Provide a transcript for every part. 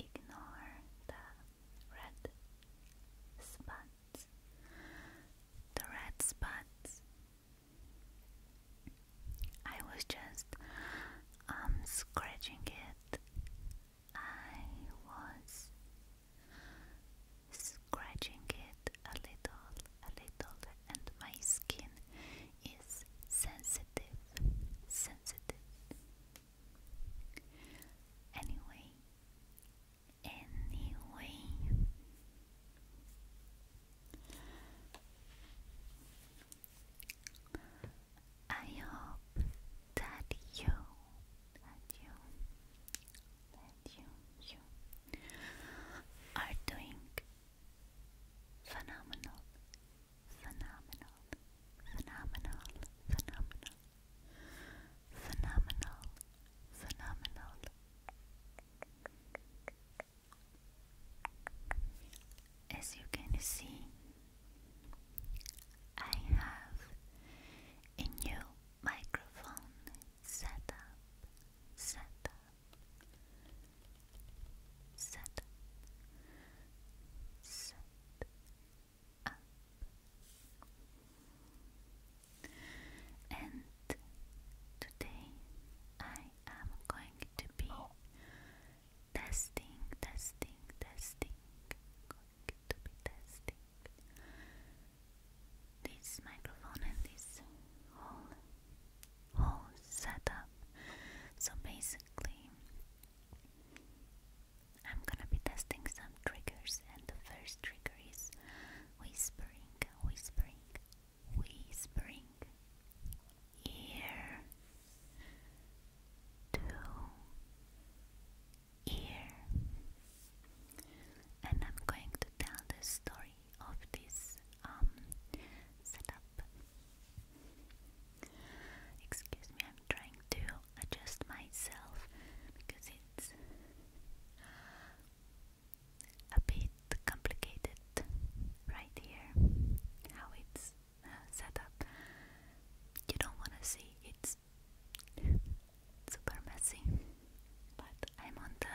Ignore the red spots. The red spots I was just um scratching it. I was scratching it a little, a little, and my skin is sensitive, sensitive. Anyway, anyway, I hope that you, that you, that you, you are doing phenomenal, phenomenal, phenomenal, phenomenal, phenomenal, phenomenal. As you can see, I have a new microphone set up, set up, And today I am going to be testing, testing, testing. Going to be testing this microphone and this whole whole setup. So basically, I'm gonna be testing some triggers, and the first trigger is whispering, whispering, whispering ear to ear. And I'm going to tell the story of this um, setup. Excuse me, I'm trying to adjust myself because it's a bit complicated right here how it's setup you don't want to see it's super messy but I'm on the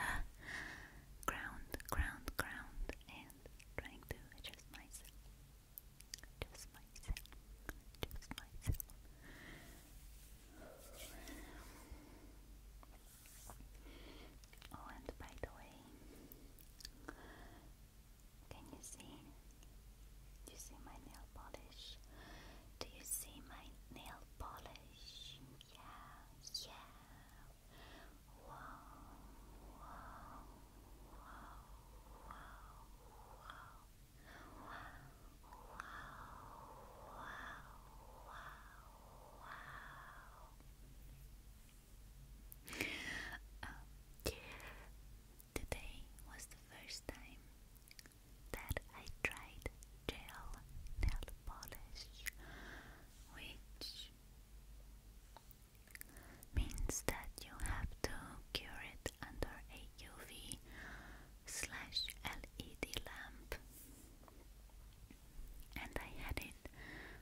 ground ground ground and trying to adjust myself just myself just myself Oh, and by the way, can you see? Do you see my nail polish? Do you see my nail polish? Yeah, yeah. Wow, wow, wow, wow, wow, wow, wow, wow, wow. Um, today was the first time that I tried gel nail polish, which means that you have to cure it under a UV slash LED lamp. And I had it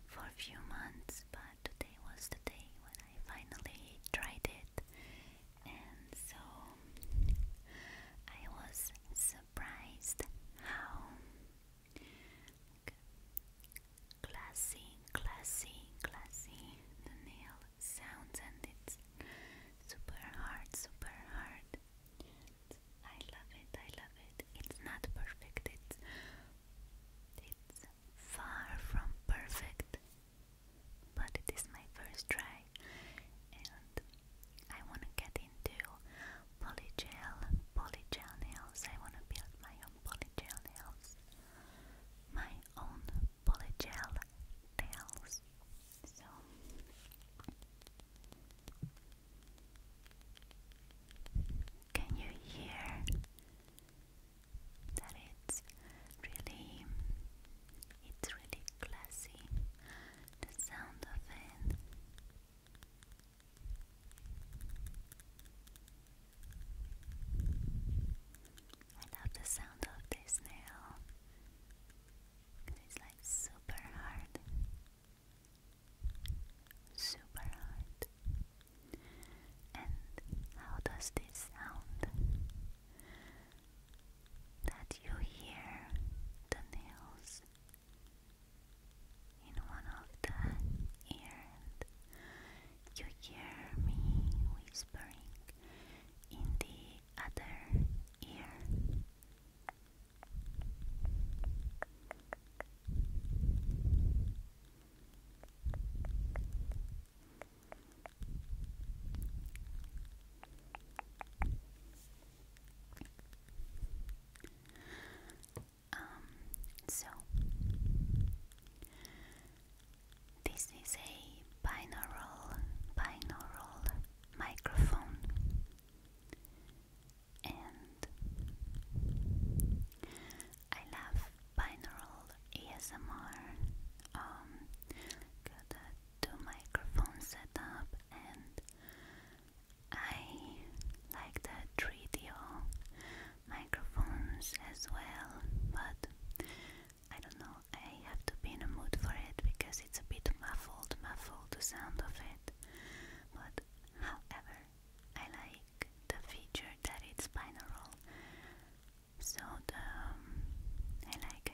for a few months, but today was the day when I finally tried it, and so I was surprised how classy, classy, classy the nail sounds, and it's super hard, super hard. I love it, I love it. It's not perfect, it's it's far from perfect, but it is my first try, and I want to get into polygel, polygel nails. I want to build my own polygel nails, my own polygel nails. So. Can you hear that it's really it's really classy the sound of it I love the sound of this nail it's like super hard super hard and how does this sound? That you hear the nails in one of the ear you hear me whispering in the other ear. Um, so this is a binaural binaural microphone and I love binaural ASMR. Um, two microphone setup, and I like the three microphones as well. But I don't know. I have to be in a mood for it because it's a bit muffled, muffled the sound of it. But however, I like the feature that it's binaural, so the um, I like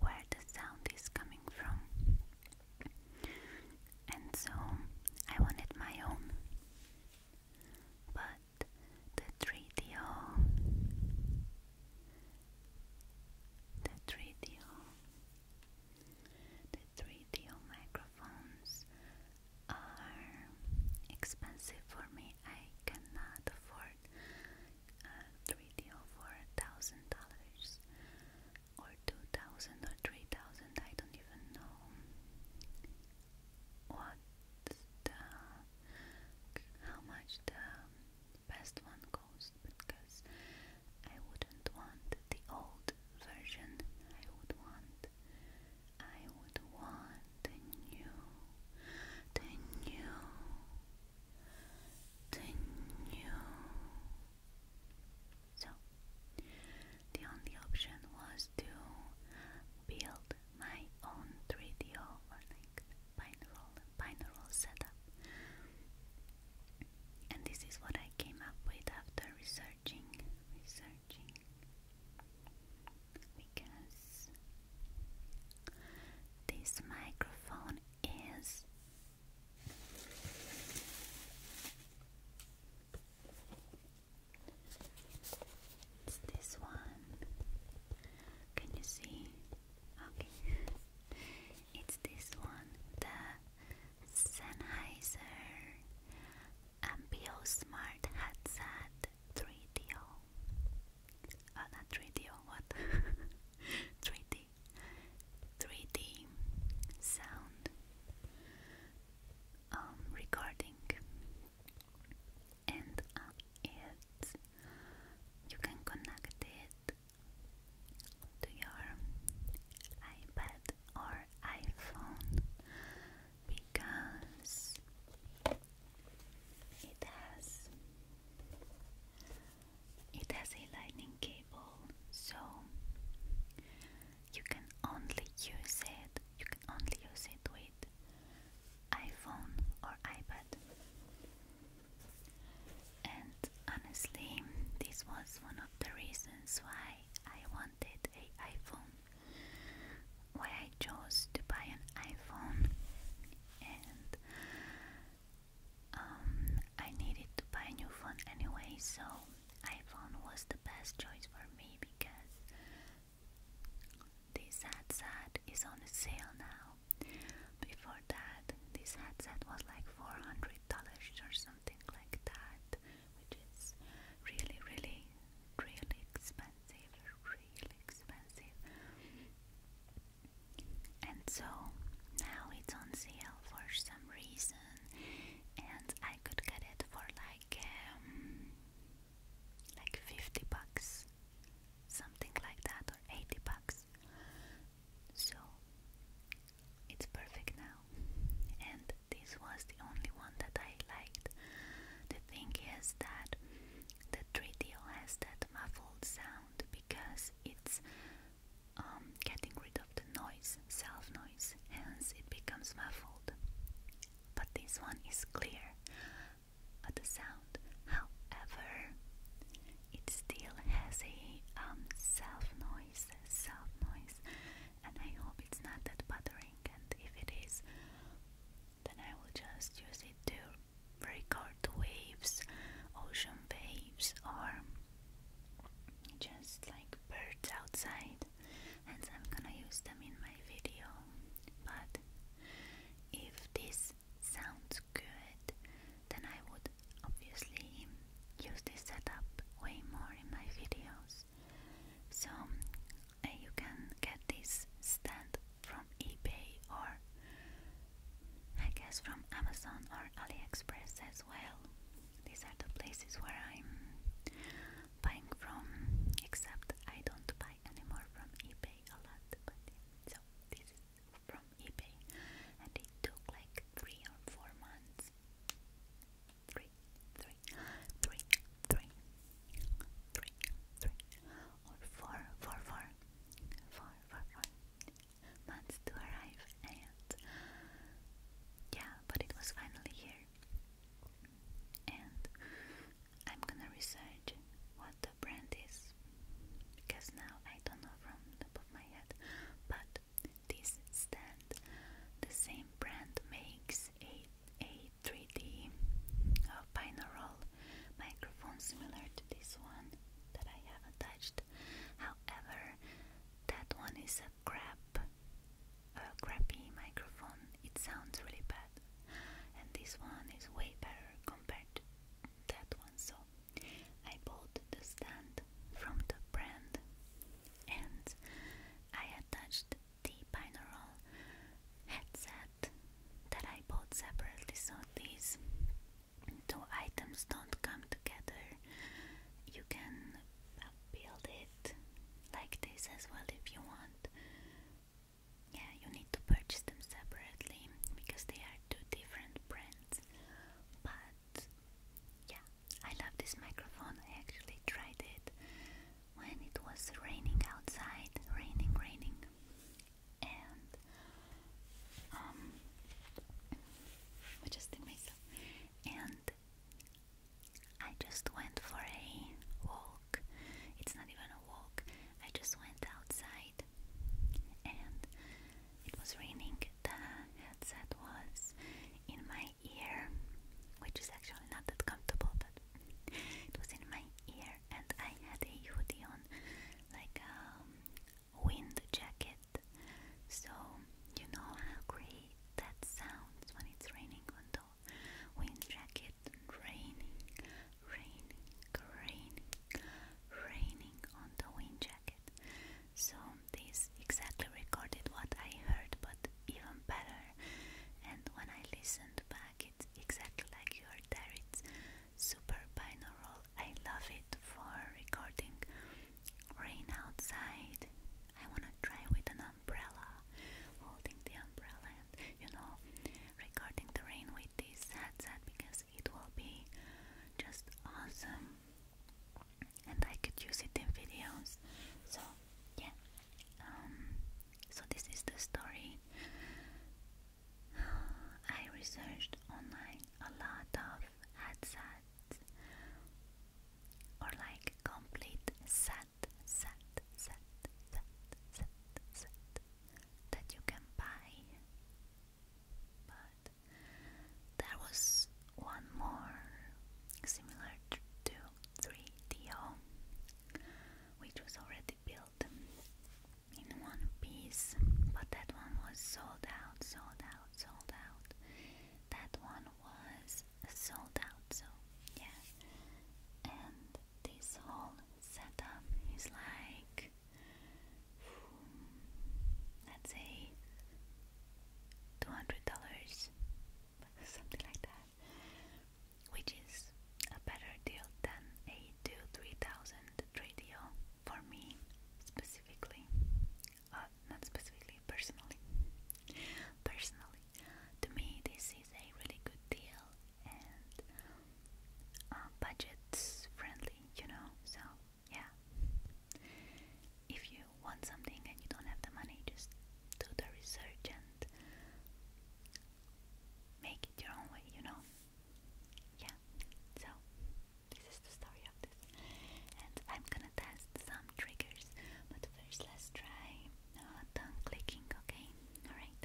where the sound is coming from, and so I wanted my own, but the 3DO, the 3DO, the 3DO microphones are expensive for me. I cannot afford uh, a 3D for a dollars or two thousand or three thousand. I don't even know what how much the best one costs because I wouldn't want the old version. I would want I would want a new, the new, the new. So, the only option was to build my own 3DO or like binaural, binaural setup. And this is what I came up with after researching, researching, because this microphone is it's this one. Can you see? Okay. It's this one, the Sennheiser Smart headset 3DO. Ah, not 3DO, what? 3D. 3D sound um, recording. And uh, you can connect it to your iPad or iPhone because it has it has a lightning cable so you can only use it you can only use it with iPhone or iPad and honestly this was one of the reasons why I wanted a iPhone why I chose to buy an iPhone and um, I needed to buy a new phone anyway so iPhone was the best choice for me because this headset is on sale now. Before that, this headset was like $400 or something like that which is really, really, really expensive, really expensive. And so now it's on sale for some reason, and I could get it for like um, like fifty bucks, something like that, or eighty bucks. So it's perfect now. And this was the only one that I liked. The thing is that the 3 has that muffled sound because it's um, getting rid of the noise, self noise, hence it becomes muffled. But this one is clear the sound. However, it still has a um, self noise, self noise and I hope it's not that bothering and if it is then I will just use it to record waves, ocean waves or just like birds outside and I'm gonna use them in my video but if this sounds good then I would obviously use this setup way more in my videos so uh, you can get this stand from eBay or I guess from Amazon or AliExpress as well. These are the places where I'm buying from, except I don't buy anymore from eBay a lot. so this is from eBay, and it took like three or four months three, three, three, three, three, three, or four, four, four, four, four, four months to arrive, and yeah, but it was finally here. And I'm gonna research what the brand is because now I don't know from top of my head, but this stand. The same brand makes a, a 3D uh, microphone similar to this one that I have attached. However, that one is a crap, a crappy microphone. It sounds really bad, and this one is way better compared to that one. So I bought the stand from the brand and I attached the binaural headset that I bought separately so these two items don't come together. You can build it like this as well if you want. Yeah, you need to purchase them separately because they are two different brands. But yeah, I love this microphone. I actually tried it when it was raining outside, raining, raining, and um, adjusting myself. And I just went for a walk. It's not even a walk. I just went outside, and it was raining. The headset was in my ear, which is actually not that comfortable, but it was in my ear, and I had a hoodie on, like a um, wind jacket. So, you know how great that sounds when it's raining on the wind jacket, raining, raining, raining, raining on the wind jacket. So, this exactly recorded what I heard, but even better. And when I listened back, it's exactly like your heard there. super binaural. I love it for recording rain outside. I wanna try with an umbrella, holding the umbrella, and you know, recording the rain with this headset because it will be just awesome and I could use it in videos. So yeah, um, so this is the story. I researched online a lot of headsets or like complete set, set, set, set, set, set that you can buy, but there was one more similar to 3DO, which was already built in one piece, but that one was sold out, sold out, sold out. That one was sold out, so yeah. And this whole setup is like, hmm, let's say, $200. something like that, which is a better deal than a two three thousand trade deal for me specifically, uh, not specifically, personally. Personally, to me this is a really good deal and uh, budget friendly, you know. So yeah, if you want something and you don't have the money, just do the research and make it your own way, you know? Yeah, so this is the story of this. And I'm gonna test some triggers, but first let's try uh, clicking, okay? Alright.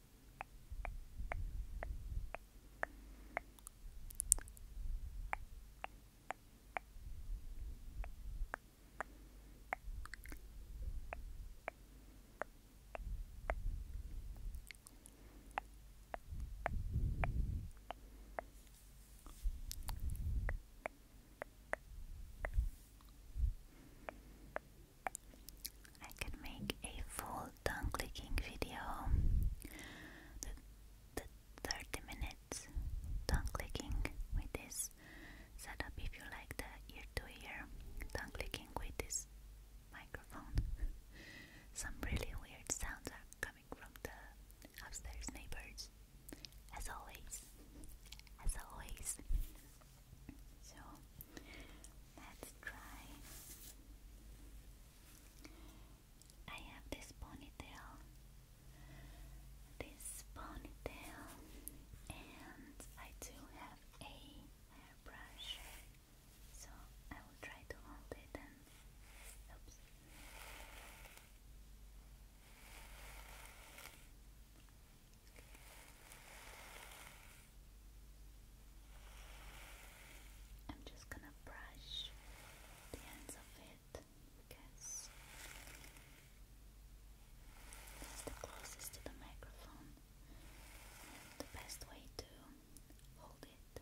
I can make a full tongue clicking video the, the 30 minutes tongue clicking with this setup if you like the ear to ear tongue clicking with this microphone some really weird sounds are coming from the upstairs neighbors as always as always so let's try I have this ponytail, this ponytail, and I do have a hairbrush, so I will try to hold it and oops. I'm just gonna brush the ends of it because that's the closest to the microphone and the best way to hold it.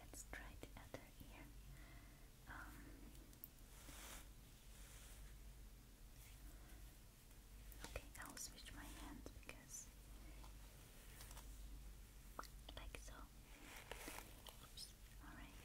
Let's try the other ear. Um, okay, I'll switch my hand because like so. alright.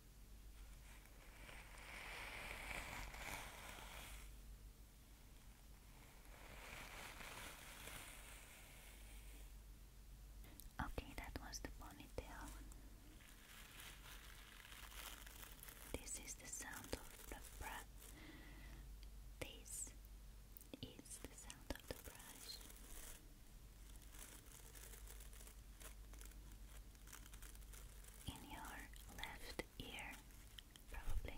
Okay, that was the ponytail. This is the sound of the brush. This is the sound of the brush in your left ear, probably.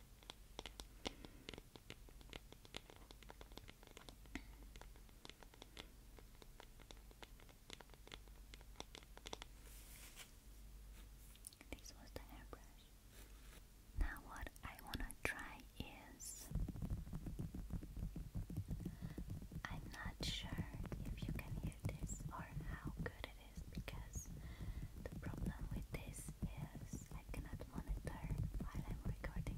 This was the hairbrush. Now, what I wanna try is. I'm not sure if you can hear this or how good it this because the problem with this is I cannot monitor while I'm recording.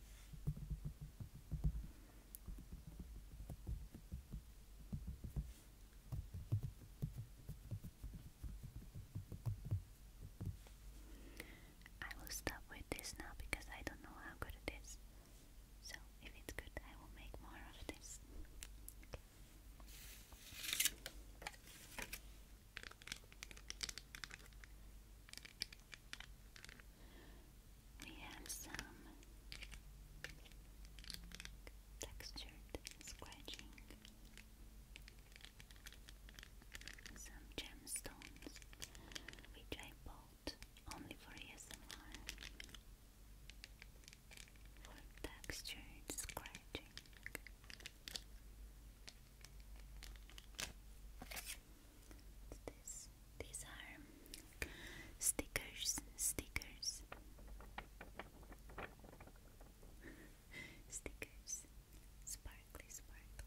I will stop with this now because I don't know how good it is. So, if it's good, I will make more of this. We have some textured scratching, some gemstones which I bought only for ASMR for textured scratching. What's These are stickers, stickers, stickers, sparkly, sparkly.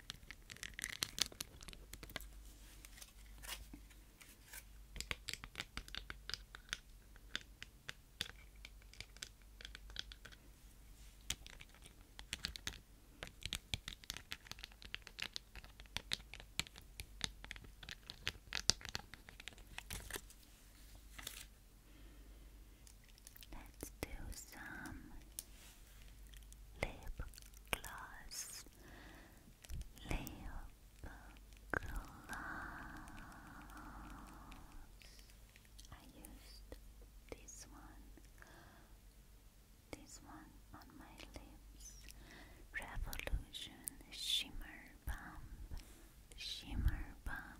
Let's do some lip gloss, lip gloss. I used this one, this one on my lips. Revolution Shimmer Bomb, Shimmer Bomb.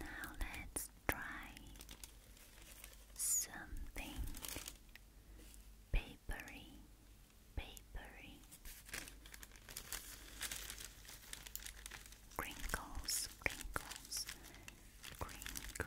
Now let's try something big papery, papery. Crinkles, crinkles, crinkles.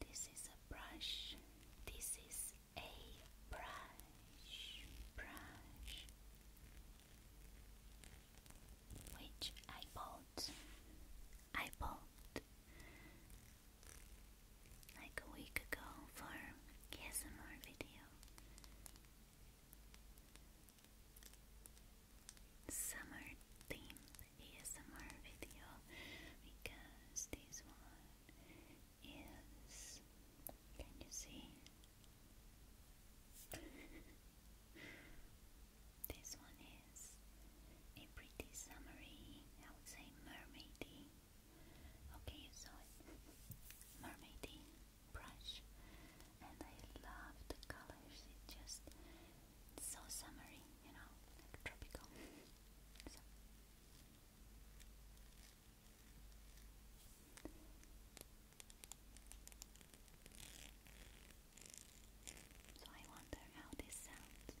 This is a brush. This is a brush. Brush which I bought. I bought like a week ago for ASMR video. Summer theme ASMR video because this one is. Can you see? This one is a pretty summery, I would say mermaidy. Okay, so saw it. mermaidy brush. And I love the colors. It's just so summery, you know, like tropical. So I wonder how this sounds.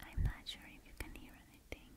I'm not sure if you can hear anything.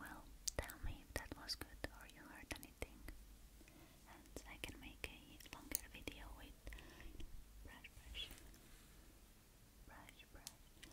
Well, tell me if that was good or you heard anything, and I can make a longer video with brush, brush, brush, brush,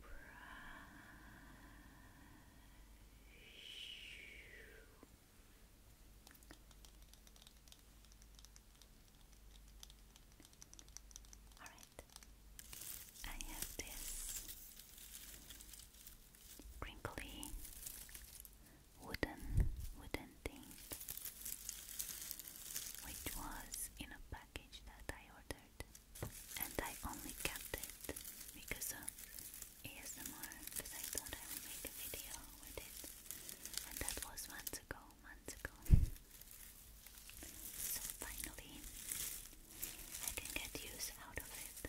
All right, I have this crinkly wooden wooden thing, which was in a pack package that I ordered, and I only kept it because of ASMR, because I thought I would make a video with it, and that was months ago, months ago. so finally, I can get use out of it.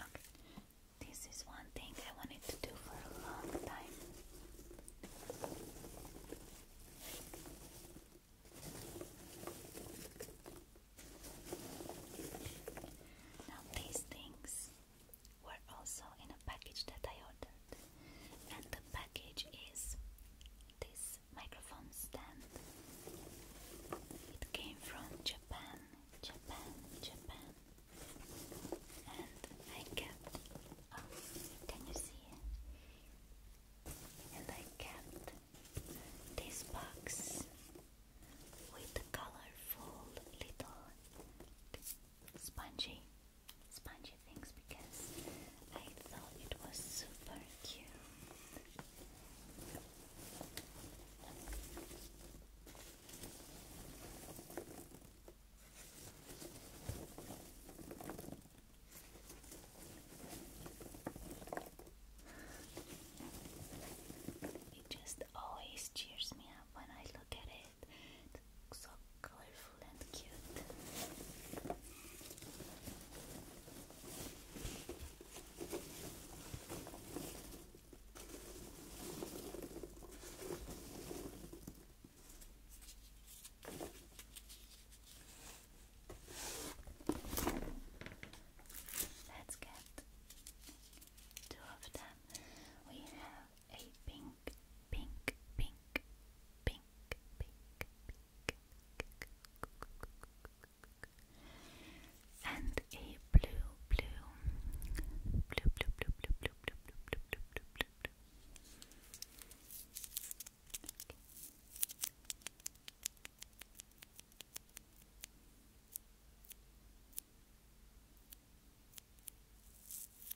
Okay, this is one thing I wanted to do for a long time. Now, these things were also in a package that I ordered. And the package is this microphone stand. It came from Japan, Japan, Japan. And I kept. Oh, can you see? And I kept this box with the colorful little spongy spongy things because I thought it was super cute. It just always cheers me up when I look at it so colorful and cute. Let's get two of them. We have a pink, pink, pink, pink, pink, pink, and a blue, blue, blue, blue, blue, blue, blue, blue, blue, blue, blue, blue, blue, blue. Okay.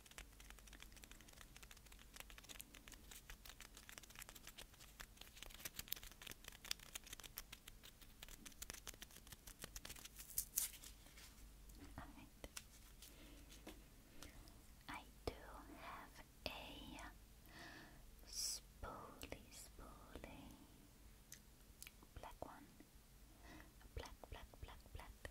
All right. I do have a spoolie, spoolie, black one, a black, black, black, black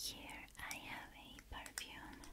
Here I have a perfume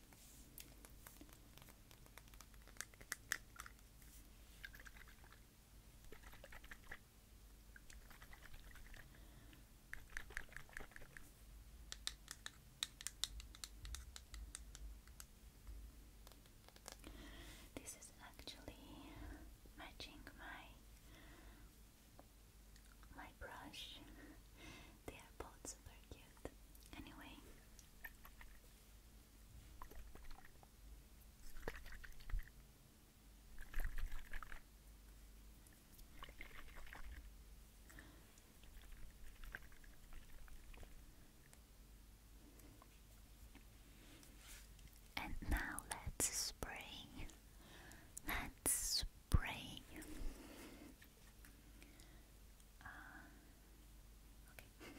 This is actually matching my my brush. they are both super cute. Anyway, and now let's spray. Let's spray. Uh, okay.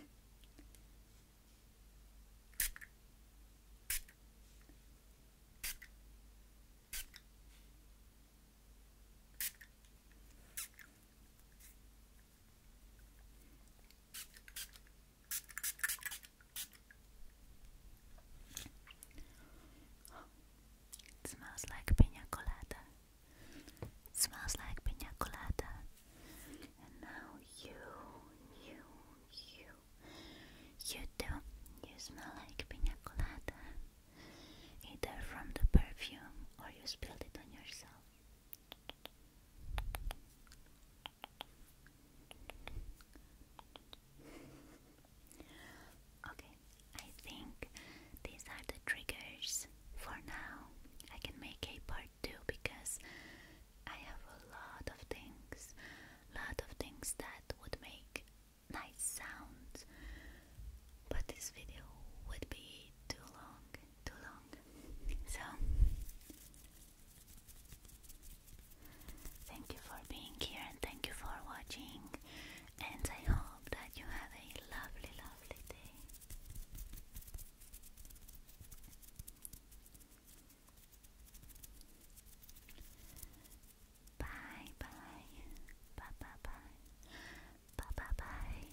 It smells like pina colada smells like pina colada. And now you, you, you, you too. You smell like pina colada. Either from the perfume or you spilled it on yourself. Okay, I think these are the triggers for now. I can make a part 2 because I have a lot of things, lot of things that would make nice sounds. But this video would be too long, too long. So Thank you for being here and thank you for watching. And I hope that you have a lovely, lovely lovely day. Bye bye. Bye bye bye. Bye bye bye.